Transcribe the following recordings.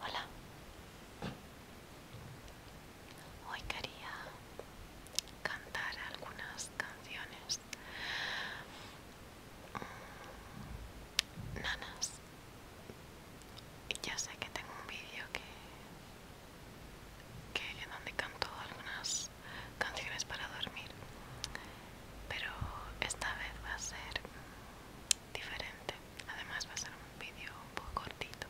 Hola. Hoy quería cantar algunas canciones nanas. Ya sé que tengo un vídeo que que en donde canto algunas canciones para dormir pero esta vez va a ser diferente además va a ser un vídeo un poco cortito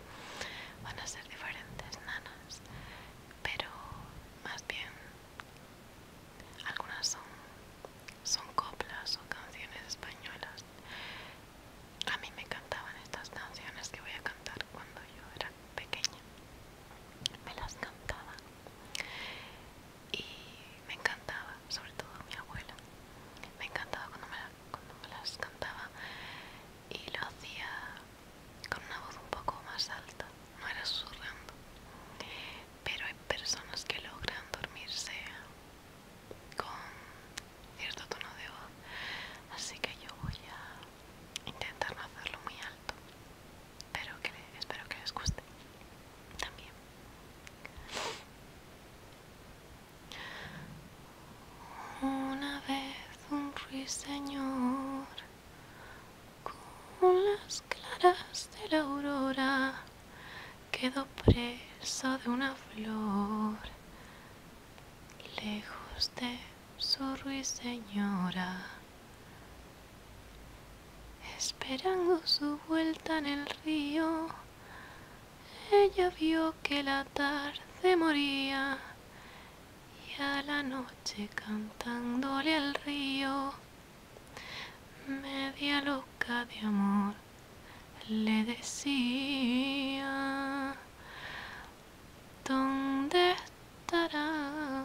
van a ser diferentes nanas pero más bien algunas son son coplas o canciones españolas a mí me cantaban estas canciones que voy a cantar cuando yo era pequeña me las cantaba y me encantaba, sobre todo mi abuela, me encantaba cuando me, las cantaba y lo hacía con una voz un poco más alta, no era susurrando, pero hay personas que logran dormirse con cierto tono de voz, así que yo voy a intentar no hacerlo muy alto. Espero que, espero que les guste también. Una vez un ruiseñor con las claras de la aurora quedó preso de una flor lejos de su ruiseñora. Esperando su vuelta en el río, ella vio que la tarde moría y a la noche cantándole al río, media loca de amor, le decía, ¿dónde estará?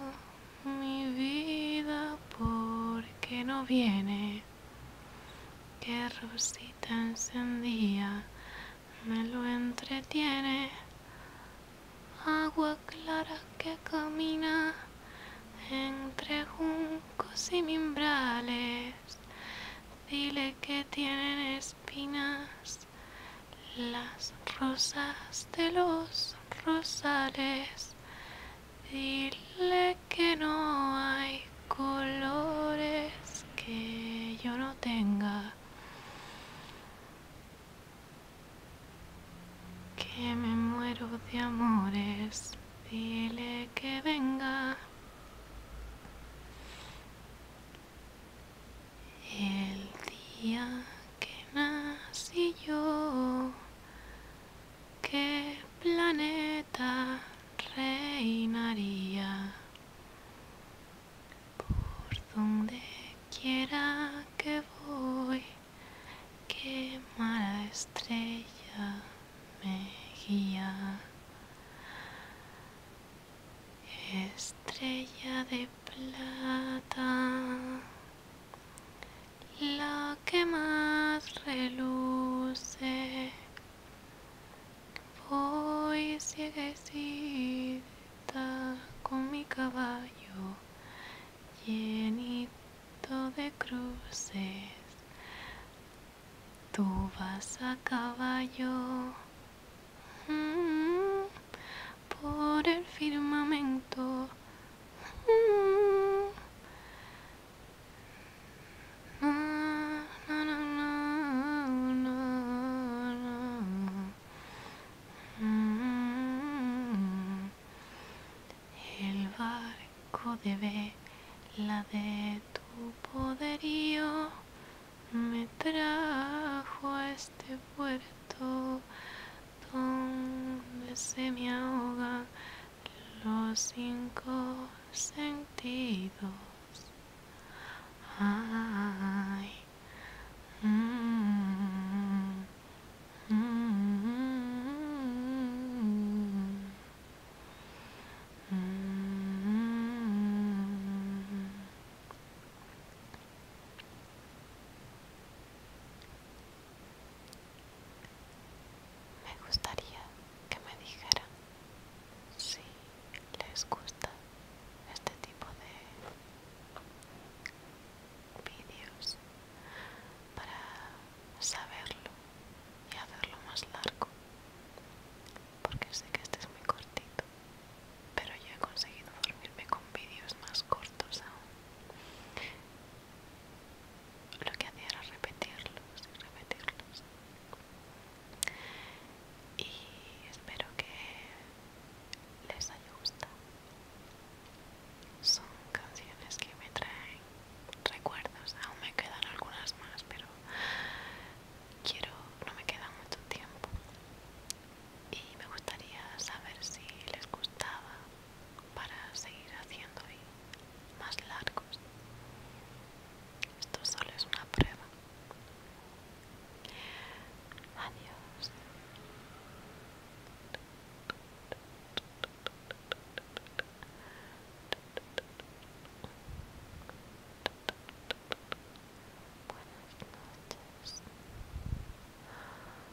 mi vida, porque no viene? Que rosita encendía, me lo entretiene. Agua clara que camina entre juncos y mimbrales. Dile que tienen espinas las rosas de los rosales Dile que no hay colores que yo no tenga. Que me muero de amores. Dile que venga. El día que nací yo ¿Qué planeta reinaría? Por donde quiera que voy, qué mala estrella me guía. Estrella de plata la que más reluce. Voy cieguecita con mi caballo llenito de cruces. Tú vas a caballo mm, por el firmamento el barco de la de tu poderío me trajo a este puerto donde se me ahogan los cinco sentidos. Ay, mm, mm, mm, me gustaría que me dijeran si les gusta este tipo de vídeos para saberlo y hacerlo más largo porque sé que este es muy cortito pero yo he conseguido dormirme con vídeos más cortos aún lo que hacía era repetirlos y repetirlos y espero que les haya gustado son canciones que me traen recuerdos aún me quedan algunas más pero quiero no me queda mucho tiempo y me gustaría saber si les gustaba para seguir haciendo más largos. Esto solo es una prueba. Adiós.